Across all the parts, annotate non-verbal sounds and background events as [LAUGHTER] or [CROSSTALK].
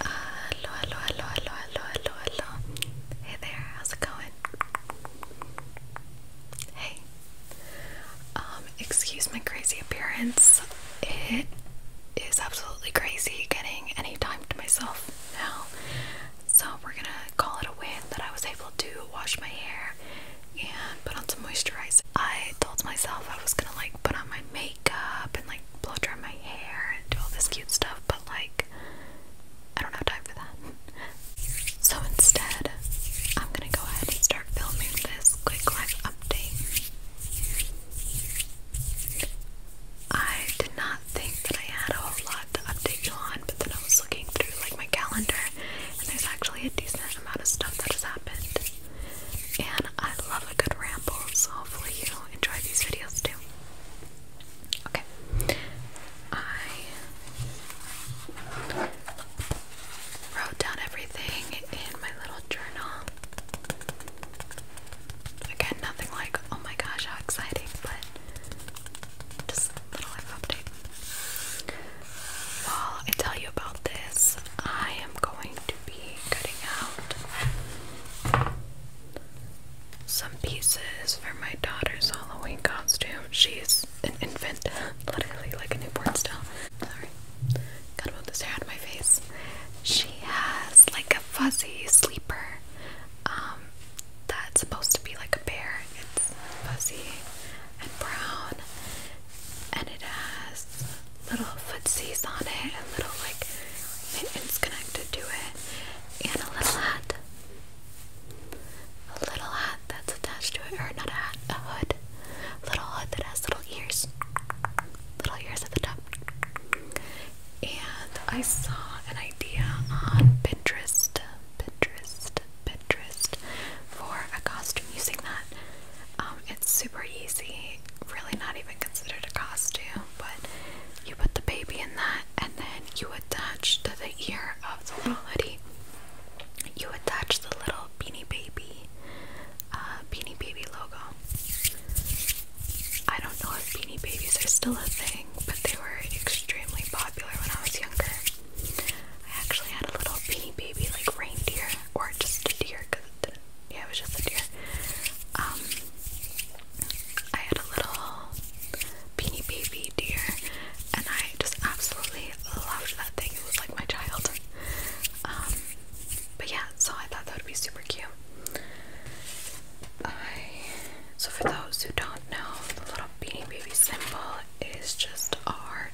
Hello, hello, hello, hello, hello, hello, Hey there, how's it going? Hey. Um, excuse my crazy appearance. It is absolutely crazy getting any time to myself now. So we're gonna call it a win that I was able to wash my hair and put on some moisturizer. I told myself I was gonna like put on my makeup and like blow dry my hair and do all this cute stuff, but like, I don't have time for that. [LAUGHS] So instead, I'm gonna go ahead and start filming this quick life update. I did not think that I had a whole lot to update you on, but then I was looking through like my calendar, and there's actually a decent amount of stuff that has happened. And I love a good ramble, so hopefully you enjoy these videos too. Okay. I wrote down everything in my little journal. Again, nothing like, oh my gosh, how exciting, but just a little life update. While I tell you about this, I am going to be cutting out some pieces for my daughter's Halloween costume. She's an infant, [LAUGHS] literally like a newborn still. Sorry, gotta move hair out my face. She has like a fuzzy sleeper um, that's supposed to be like a bear. It's fuzzy and brown, and it has little footsies on it and little like mittens connected to it and a little hat. A little hat that's attached to it, or not a hat, a hood. little hood that has little ears. Little ears at the top. And I saw an idea on Pinterest, Pinterest, Pinterest for a costume using that um, it's super easy, really not even considered a costume, but you put the baby in that and then you attach to the ear of the little hoodie. You attach the little Beanie Baby, uh, Beanie Baby logo. I don't know if Beanie Babies are still a thing, but they were extremely popular when I was younger. I actually had a little Beanie Baby like reindeer, or just a deer because it didn't yeah, it was just a deer. Um, I had a little beanie baby deer, and I just absolutely loved that thing. It was like my child. Um, but yeah, so I thought that would be super cute. so for those who don't know, the little beanie baby symbol is just a heart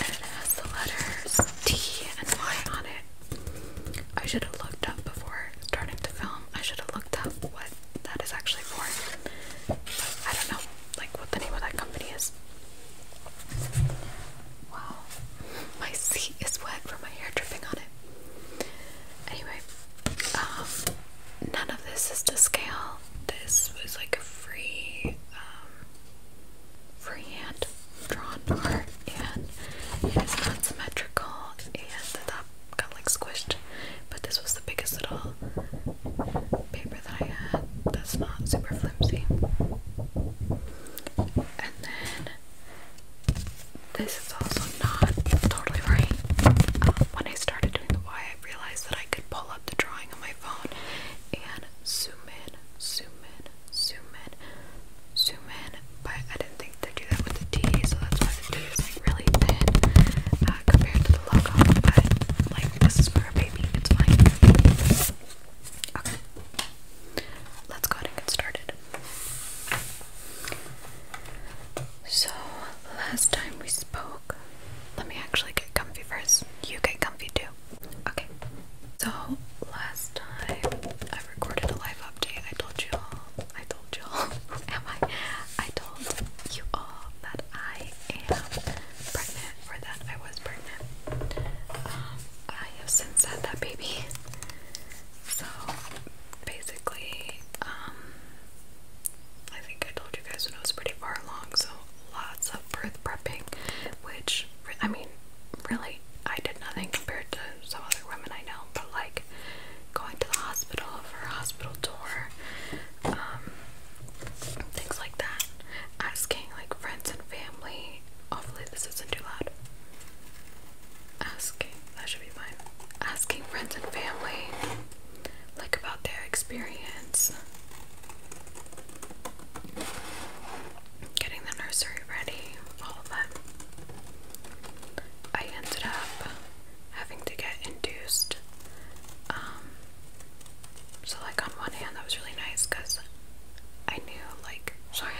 it has the letters T and Y on it. I should have looked up before starting to film. I should have looked up what that is actually for. But I don't know, like what the name of that company is. Wow, my seat is wet from my hair dripping on it. Anyway, um, none of this is to scale. This was like a free um, freehand drawn art and it is not symmetrical and the top got like squished but this was the biggest little paper that I had that's not super flimsy and then this is also not totally right um, when I started doing the Y I realized that I could pull up the drawing on my iPhone and zoom in, zoom in, zoom in, zoom in. But I didn't think to do that with the T, so that's why the T is really thin uh, compared to the logo. But like this is for a baby, it's fine. Okay. Let's go ahead and get started. So, last time we spoke, let me actually get comfy first. You get comfy too. Okay. So last time I recorded a live update, I told you all, I told you all, [LAUGHS] am I? I told you all that I am pregnant, or that I was pregnant. Um, I have since had that baby. So basically, um, I think I told you guys when I was pretty far along, so lots of birth prepping, which I mean, really, I did nothing compared to some other women I know, but like going to the hospital for a hospital tour, um, things like that, asking like friends and family. Hopefully, this isn't too loud. Asking, that should be fine. Asking friends and family like about their experience getting the nursery ready, all that. I ended up having to get induced. Um, so, like, on one hand, that was really nice because I knew, like, [LAUGHS] sorry,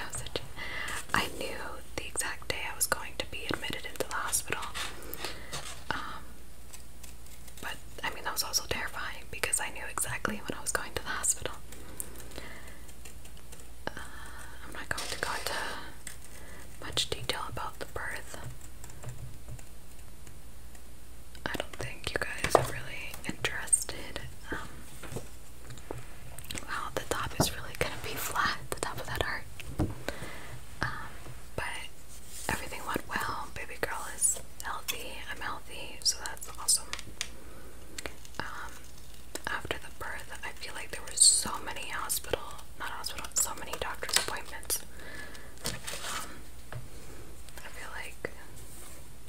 I knew the exact day I was going to be admitted into the hospital. Um, but I mean, that was also terrifying because I knew exactly when I was going to the hospital. Uh, I'm not going to go into much detail about the birth. I don't think you guys are really interested. Um, wow, the top is really gonna be flat, the top of that heart. Um, but everything went well. Baby girl is healthy. I'm healthy so that's awesome. Um, after the birth, I feel like there were so many hospital, not hospital, so many doctor's appointments. Um, I feel like,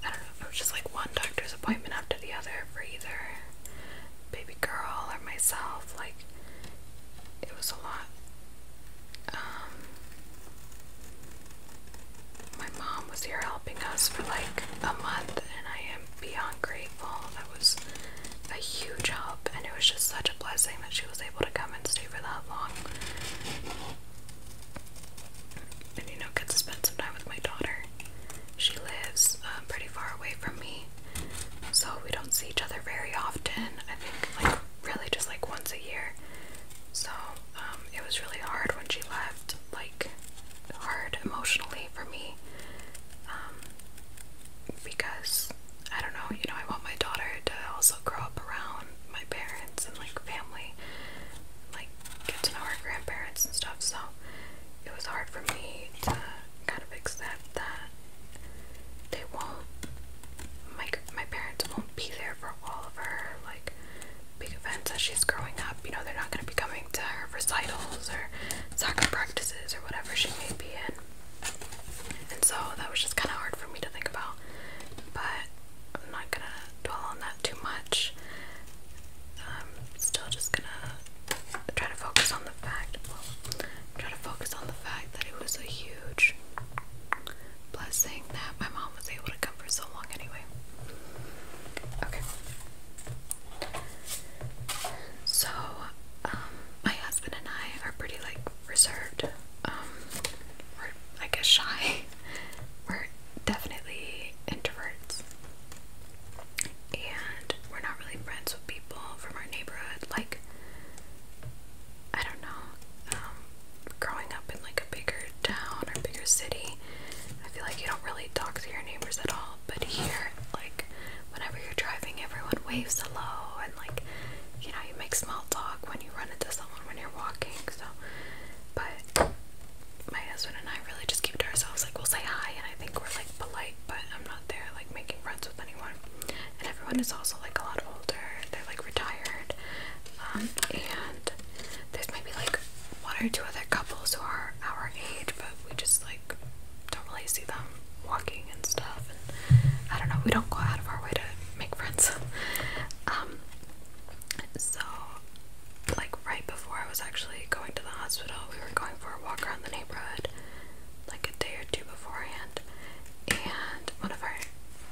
I don't know, it was just like one doctor's appointment after the other for either baby girl or myself. Like, it was a lot um, my mom was here helping us for like a month, and I am beyond grateful. That was a huge help, and it was just such a blessing that she was able to come and stay for that long. And you know, get to spend some time with my daughter. She lives uh, pretty far away from me, so we don't see each other very often. I think, like, really just like once a year. So um, it was really hard when she left, like, hard emotionally for me. Um, because I don't know, you know, I want my daughter to also grow up around my parents and like family, like get to know her grandparents and stuff. So it was hard for me to kind of accept that they won't, my my parents won't be there for all of her like big events as she's growing up. You know, they're not going to be coming to her recitals or soccer practices or whatever she may be in. And so that was just kind of hard for me to think about. But I'm not going to dwell on that too much. I'm um, still just going to try to focus on the fact, well, try to focus on the fact that it was a huge blessing that my mom was able to come for so long anyway. Okay. So, um, my husband and I are pretty like reserved. Um, we're, I guess, shy. [LAUGHS] We're definitely introverts. And we're not really friends with people from our neighborhood. Like, I don't know, um, growing up in like a bigger town or bigger city, I feel like you don't really talk to your neighbors at all. But here, like, whenever you're driving, everyone waves hello, and like, you know, you make small talk when you run into someone when you're walking. So, but my husband and I really just keep to ourselves. Like, we'll say hi, and I think we're like polite, but I'm not there like making friends with anyone. And everyone is also like a lot older. They're like retired it. Um, and there's maybe like one or two other couples who are our age, but we just like don't really see them walking and stuff. And I don't know, we don't go out of our way to make friends. [LAUGHS] um, so, like, right before I was actually going to the hospital, we were going for a walk around the neighborhood like a day or two beforehand. And and one of our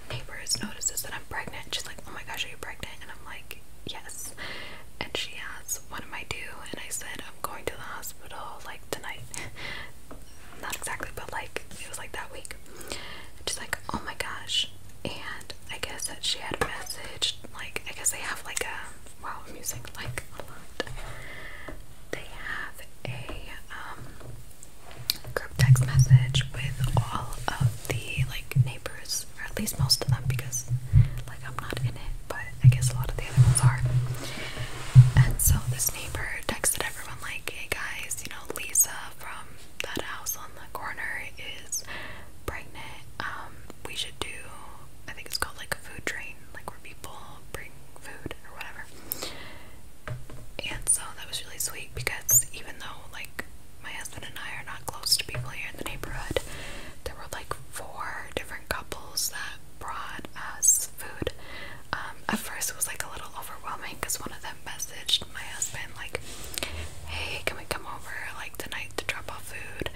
neighbors notices that I'm pregnant. She's like, "Oh my gosh, are you pregnant?" And I'm like, "Yes." And she asks, "What am I due?" And I said, "I'm going to the hospital like tonight." [LAUGHS] Not exactly, but like it was like that week. And she's like, "Oh my gosh." And I guess that she had messaged like I guess they have like a wow, I'm using like a lot. They have a um group text message with all of the like neighbors, or at least most of them, because like I'm not in it, but I guess a lot of the other ones are. And so this neighbor texted everyone like, "Hey guys, you know Lisa from that house on the corner is pregnant. Um, we should do. I think it's called like a food train, like where people bring food or whatever." And so that was really sweet because even though like my husband and I are not close to people here in the neighborhood, there were like four different couples that brought us food. Um, at first it was like a little overwhelming because one of them messaged my husband like, "Hey, can we come over like tonight to drop off food?"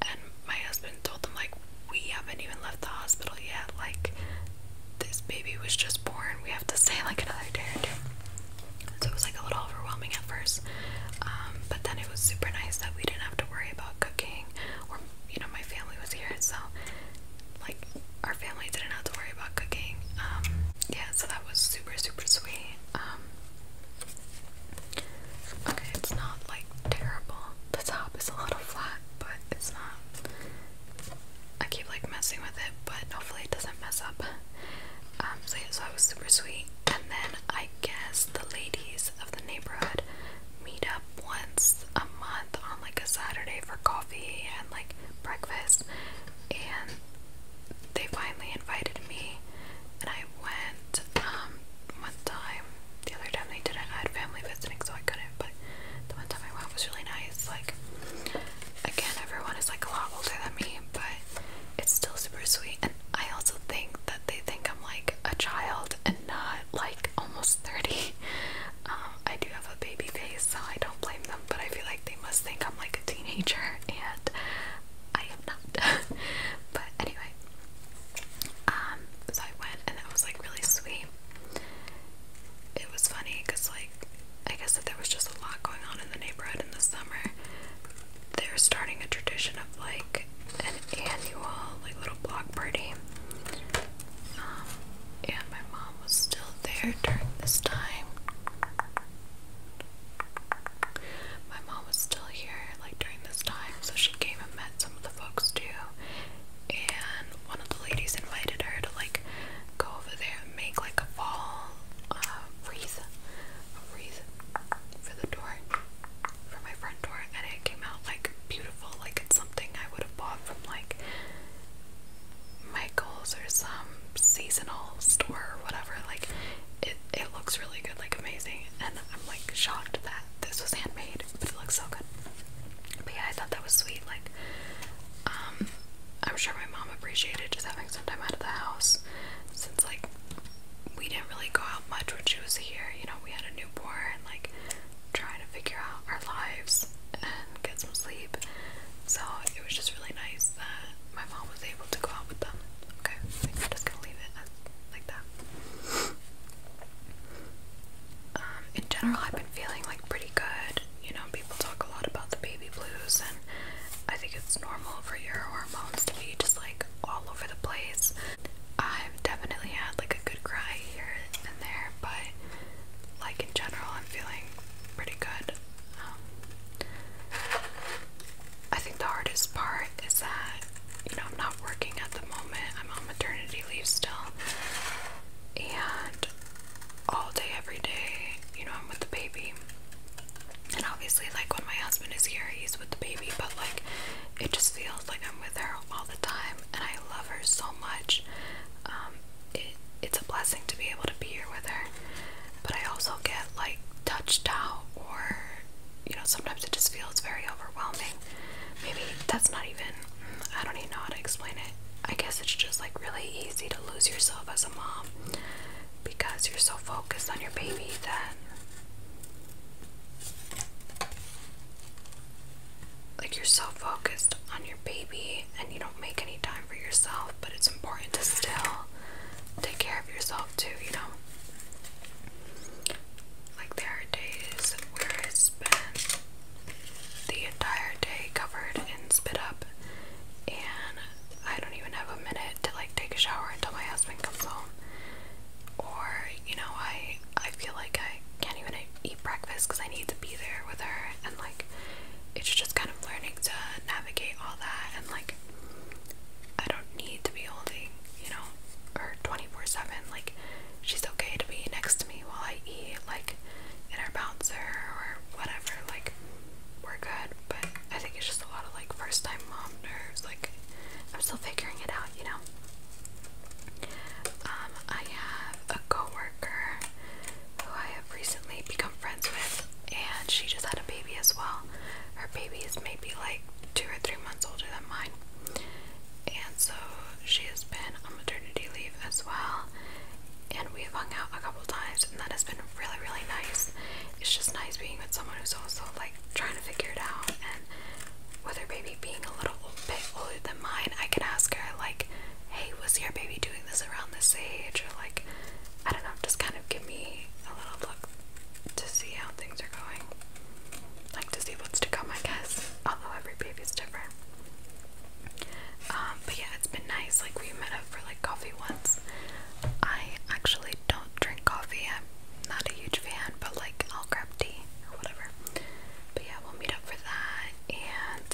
And my husband told them like, "We haven't even left the hospital yet. Like, this baby was just born. We have to stay like another day or two. So it was like a little overwhelming at first. Um, but then it was super nice that we didn't have to worry about cooking or, you know, my family was here. So like our family didn't have to worry about cooking. Um, yeah, so that was super, super sweet. Um, okay, it's not like terrible. The top is a little flat, but it's not I keep like messing with it, but hopefully it doesn't mess up. Um, so yeah, so that was super sweet. And then I guess the ladies of the neighborhood meet up once a month on like a Saturday for coffee and like breakfast. And they finally invited me, and I went um, one time. The other time they didn't, I had family visiting, so I couldn't. But the one time I went was really nice. Like again, everyone is like a lot older than me, but it's still super sweet. And I also think that they think I'm like a child and not like almost 30. [LAUGHS] Um, I do have a baby face, so I don't blame them, but I feel like they must think I'm like a teenager, and I am not. [LAUGHS] but anyway, um, so I went and that was like really sweet. It was funny because, like, like I guess that there was just a lot going on in the neighborhood in the summer. They're starting a tradition of like an annual like little block party. Um, and my mom was still there during this time. My mom was still here like during this time, so she came and met some of the folks too, and one of the ladies invited her to like go over there and make like a fall uh, wreath, wreath for the door, for my front door, and it came out like beautiful, like it's something I would have bought from like Michael's or some seasonal store or whatever. Like it, it looks really good, like amazing, and I'm like shocked that this was handmade, but it looks so good. But yeah, I thought that was sweet. Like, um, I'm sure my mom appreciated just having some time out of the house since like we didn't really go out much when she was here. You know, we had a newborn, like trying to figure out our lives and get some sleep. So it was just really nice that my mom was able to go out with them. Okay, I am just gonna leave it as, like that. Um, in general, I've been feeling like pretty good. You know know, people talk a lot about the baby blues, and I think it's normal for your hormones to be just like all over the place. I've definitely had like a good cry here and there, but like in general, I'm feeling pretty good. Um, I think the hardest part is that, you know, I'm not working at the moment, I'm on maternity leave still, and all day, every day. You know, I'm with the baby. And obviously, like when my husband is here, he's with the baby, but like it just feels like I'm with her all the time, and I love her so much. Um, it's a blessing to be able to be here with her, but I also get like touched out, or you know, sometimes it just feels very overwhelming. Maybe that's not even, I don't even know how to explain it. I guess it's just like really easy to lose yourself as a mom because you're so focused on your baby that like you're so focused on your baby and you don't make any time for yourself, but it's important to still take care of yourself too, you know. Like there are days where I spend the entire day covered and spit up and I don't even have a minute to like take a shower until my husband comes home. Or, you know, I I feel like I can't even eat breakfast because I need to be there with her and like it's just kind of learning to navigate all that and like I don't need to be holding, you know, her 24/7. Like she's okay to be next to me while I eat. Like in our bouncer or whatever, like we're good. But I think it's just a lot of like first time mom nerves. Like I'm still figuring it out, you know. Um, I have a coworker who I have recently become friends with, and she just had a baby as well. Her baby is maybe like two or three months older than mine, and so she has been on maternity leave as well and we've hung out a couple times and that has been really really nice it's just nice being with someone who's also like trying to figure it out and with her baby being a little bit older than mine i can ask her like hey was your baby doing this around this age or like i don't know just kind of give me a little look to see how things are going like to see what's to come i guess although every baby's different um, but yeah, it's been nice. Like we met up for like coffee once. I actually don't drink coffee. I'm not a huge fan, but like I'll grab tea or whatever. But yeah, we'll meet up for that. And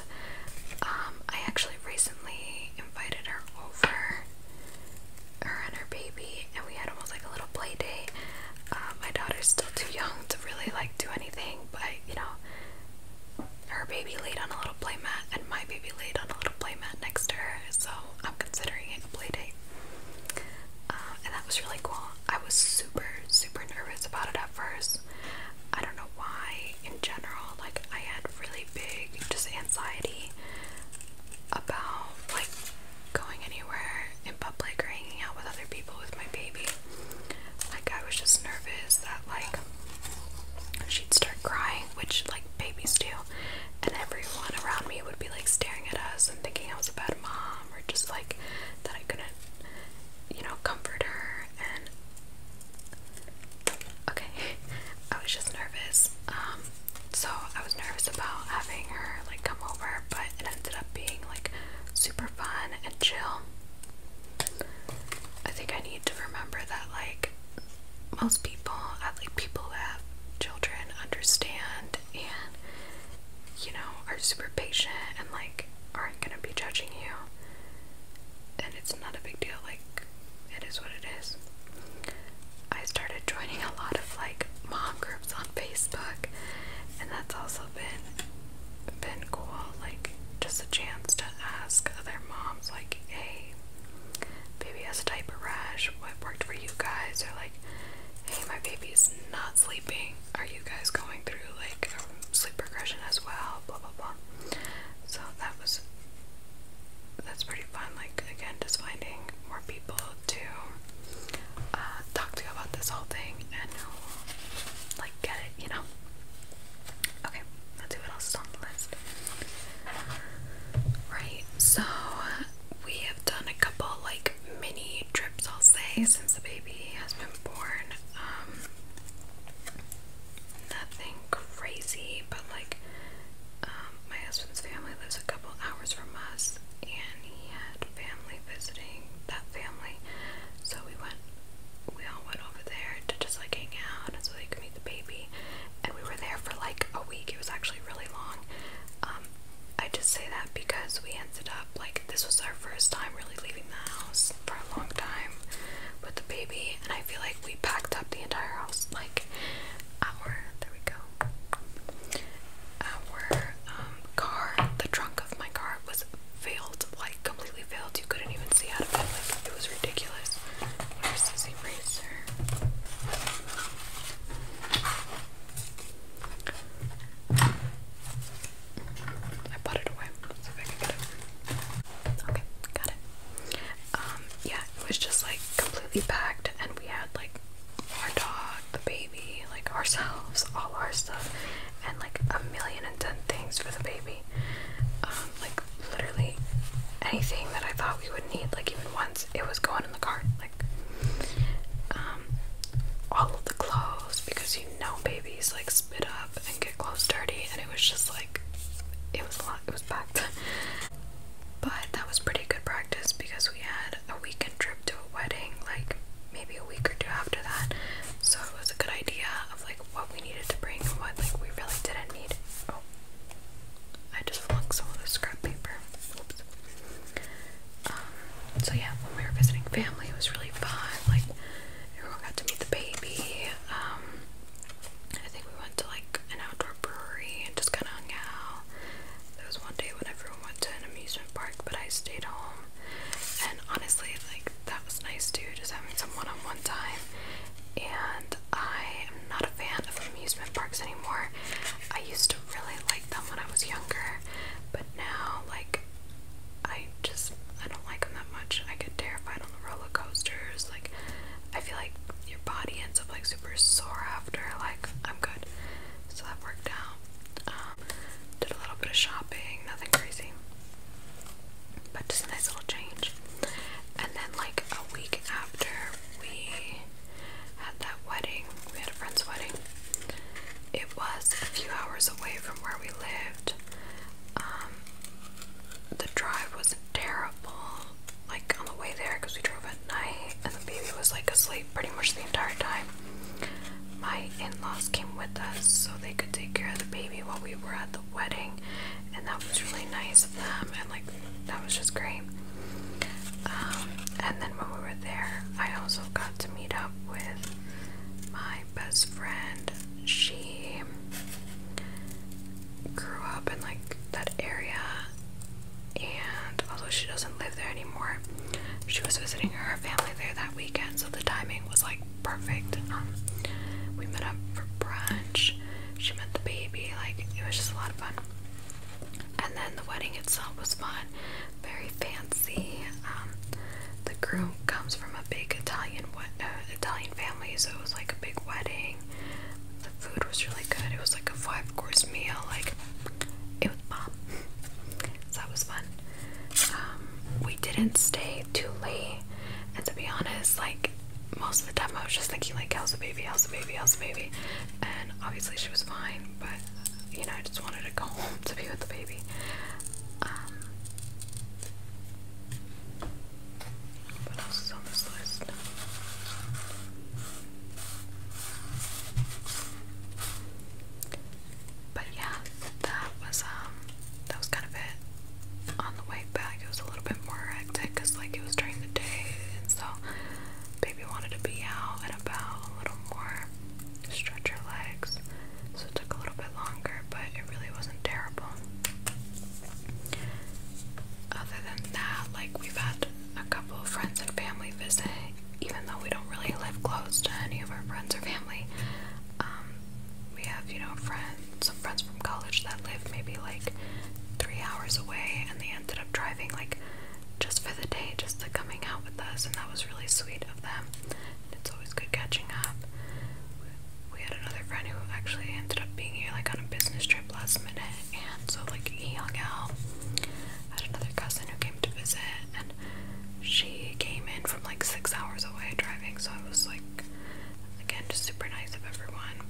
um, I actually recently invited her over, her and her baby, and we had almost like a little play date. Uh, my daughter's still too young to really like do anything, but you know, her baby laid on a little playmat and my baby laid on a little playmat next to her, so I'm considering it a play date. Uh, and that was really cool. I was super, super nervous about it at first. I don't know why, in general, like I had really big just anxiety about like going anywhere in public or hanging out with other people with my baby. Like I was just nervous that like she'd start crying, which like babies do, and everyone around me would be like staring at us and thinking I was a bad mom or just like that I couldn't, you know, comfort her and okay. [LAUGHS] I was just nervous. Um so I was nervous about having her like come over, but it ended up being like super fun and chill. I think I need to remember that, like, most people, uh, like people who have children, understand and, you know, are super patient and, like, aren't gonna be judging you. And it's not a big deal, like, it is what it is. I started joining a lot of, like, mom groups on Facebook, and that's also also been been cool, like just a chance to ask other moms, like, hey, baby has a type of rash, what worked for you guys? Or like, hey, my baby's not sleeping. Are you guys going through like sleep regression as well? Blah blah blah. So that was that's pretty fun. Like again, just finding more people to uh, talk to about this whole thing and like get you know. Okay, let's see what else is on the list. Right, so we have done a couple like mini trips, I'll say, since the baby has been born. Um, nothing crazy, but like um, my husband's family lives a couple hours from us, and he had family visiting that family, so we went we all went over there to just like hang out so they could meet the baby. And we were there for like a week. It was actually really long. Um, I just say that because we ended up like this was our first time really leaving the house for a long time with the baby, and I feel like we packed up the entire house like our there we go. Our um, car, the trunk of my car was filled like completely failed. You couldn't even see out of it. it was ridiculous. Where's this eraser? I put it away. let I can get it. Okay, got it. Um, yeah, it was just like completely packed, and we had like our dog, the baby, like ourselves, all our stuff, and like a million and ten things for the baby movie. Um, like literally anything that I thought we would need, like even once it was going in the cart, like um, all of the clothes because you know babies like spit up and get clothes dirty, and it was just like it was a lot. It was packed. But that was pretty good practice because we had a weekend trip to a wedding, like maybe a week or two after that. So it was a good idea of like what we needed to bring and what like we really didn't need. Oh, I just flung some of the scrap paper. Oops. Um, so yeah, when we were visiting family, it was really fun. Like everyone got to meet the baby. Um, I think we went to like an outdoor brewery and just kind of hung out. There was one day when everyone went to an amusement park, but I stayed home and honestly, like that was nice too, just having some one-on-one time. And I am not a fan of amusement parks anymore. I used to really like them when I was younger, but now like I just I don't like them that much. I get terrified on the roller coasters. Like I feel like your body ends up like super sore after. Like I'm good, so that worked out. Um, did a little bit of shopping, nothing crazy. But just a nice little change. And then, like a week after we had that wedding, we had a friend's wedding. It was a few hours away from where we lived. Um, the drive was terrible. Like on the way there, because we drove at night, and the baby was like asleep pretty much the entire time my in-laws came with us so they could take care of the baby while we were at the wedding and that was really nice of them and like that was just great um, and then when we were there I also got to meet up with my best friend she grew up in like that area and although she doesn't live there anymore she was visiting her family there that weekend so the timing was like perfect. Um, we met up for brunch. She met the baby. Like it was just a lot of fun. And then the wedding itself was fun, very fancy. Um, the groom comes from a big Italian uh, Italian family, so it was like a big wedding. The food was really good. It was like a five course meal. Like it was bomb. [LAUGHS] so that was fun. Um, we didn't stay too late, and to be honest, like most of the time, I was just thinking like, "How's the baby? How's the baby? How's the baby?" And obviously, she was fine, but you know, I just wanted to go [LAUGHS] home to be with the baby. Um, what else is on this list? But yeah, that was um that was kind of it. On the way back, it was a little bit more hectic like it was during the day, and so baby wanted to be out and about a little more, stretch her legs. So it took a little bit longer, but it really wasn't terrible. Other than that, like we've had a couple of friends and family visit, even though we don't really live close to any of our friends or family. Um, we have, you know, friends, some friends from college that live maybe like three hours away, and they ended up driving like just for the day, just to coming out with us, and that was really sweet of them. And it's always good catching up. We had another friend who actually ended up being here like on a business trip last minute, and so like he hung out. I had another cousin who came to visit, she came in from like six hours away driving, so I was like, again, just super nice of everyone.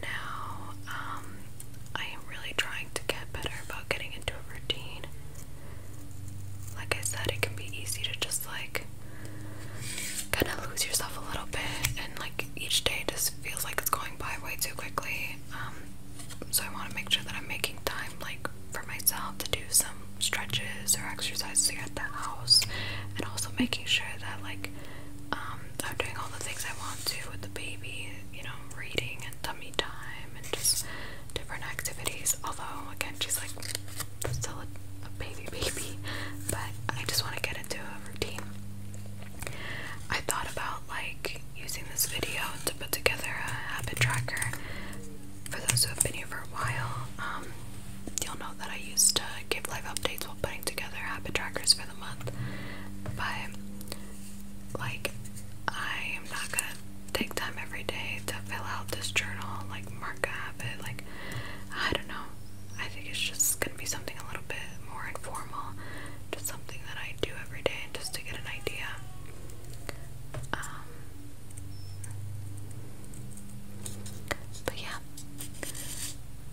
Now, um, I am really trying to get better about getting into a routine. Like I said, it can be easy to just like kind of lose yourself a little bit, and like each day just feels like it's going by way too quickly. Um, so I want to make sure that I'm making time like for myself to do some stretches or exercises here at the house and also making sure that like um, I'm doing all the things I want to with the baby, you know, reading and tummy time and just different activities. Although again she's like still a baby [LAUGHS] baby, but I just want to get into a routine. I thought about like using this video to put together a habit tracker for those who have been here for a while, um, you'll know that I used to give live updates while putting together habit trackers for the month. But, like, I am not gonna take time every day to fill out this journal, like, mark a habit. Like, I don't know. I think it's just gonna be something a little bit more informal, just something that I do every day just to get an idea. Um, but yeah,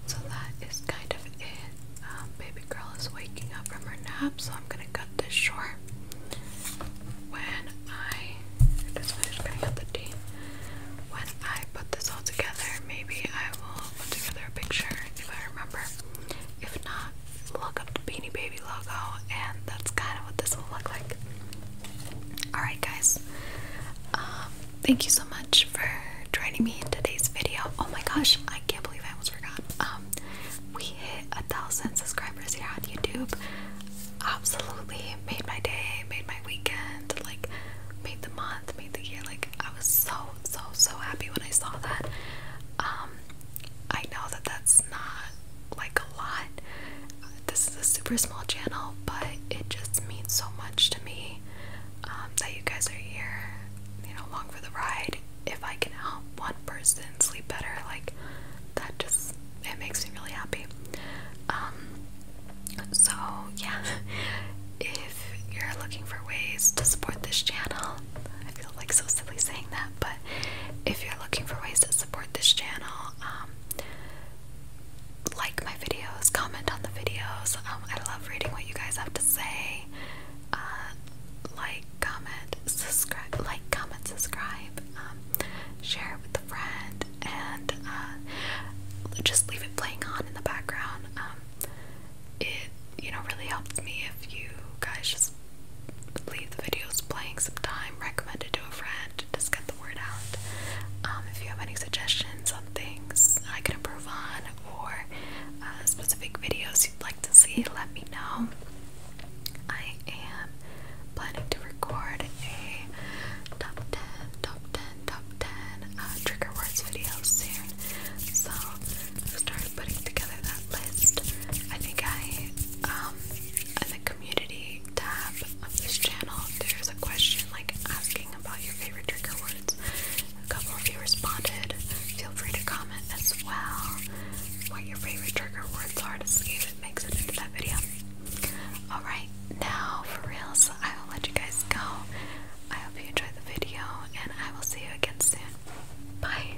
so that is kind of it. Um, baby girl is waking up from her nap, so I'm gonna cut this short. When I just finished cutting out the tea, when I put this all together, maybe I will put together a picture if I remember. If not, look up the Beanie Baby logo, and that's kind of what this will look like. Alright, guys, um, thank you so much for joining me in today's video. Oh my gosh, I can't believe I almost forgot. Um, we hit a thousand subscribers here on YouTube. Absolutely made my day, made my weekend, like made the month, made the year. Like I was so so so happy when I saw that. Um, I know that that's not like a lot. this is a super small channel, but it just means so much to me um, that you guys are here, you know, along for the ride. If I can help one person sleep better, like that, just it makes me really happy. Um, so yeah, [LAUGHS] if you're looking for ways to support this channel, I feel like so silly saying that, but if you're looking for ways to support this channel, um, like my videos, comment on the videos. Um, I love reading what you guys have to say. Uh, like, comment, subscribe. Like, comment, subscribe. share it with a friend, and uh, just leave it playing on in the background. Um, it you know really helps me if you guys just leave the videos playing some time, recommend it to a friend, just get the word out. Um, if you have any suggestions on things I can improve on or uh, specific videos you'd like to see, let me know. I am planning to record a top 10, top 10, top 10 uh, trigger words video soon. So, start putting together that list, I think I, um, in the community tab of this channel, there's a question like asking about your favorite trigger words. A couple of you responded. Feel free to comment as well what your favorite trigger words are to see if it makes it into that video. Alright, now for reals, I will let you guys go. I hope you enjoyed the video and I will see you again soon. Bye!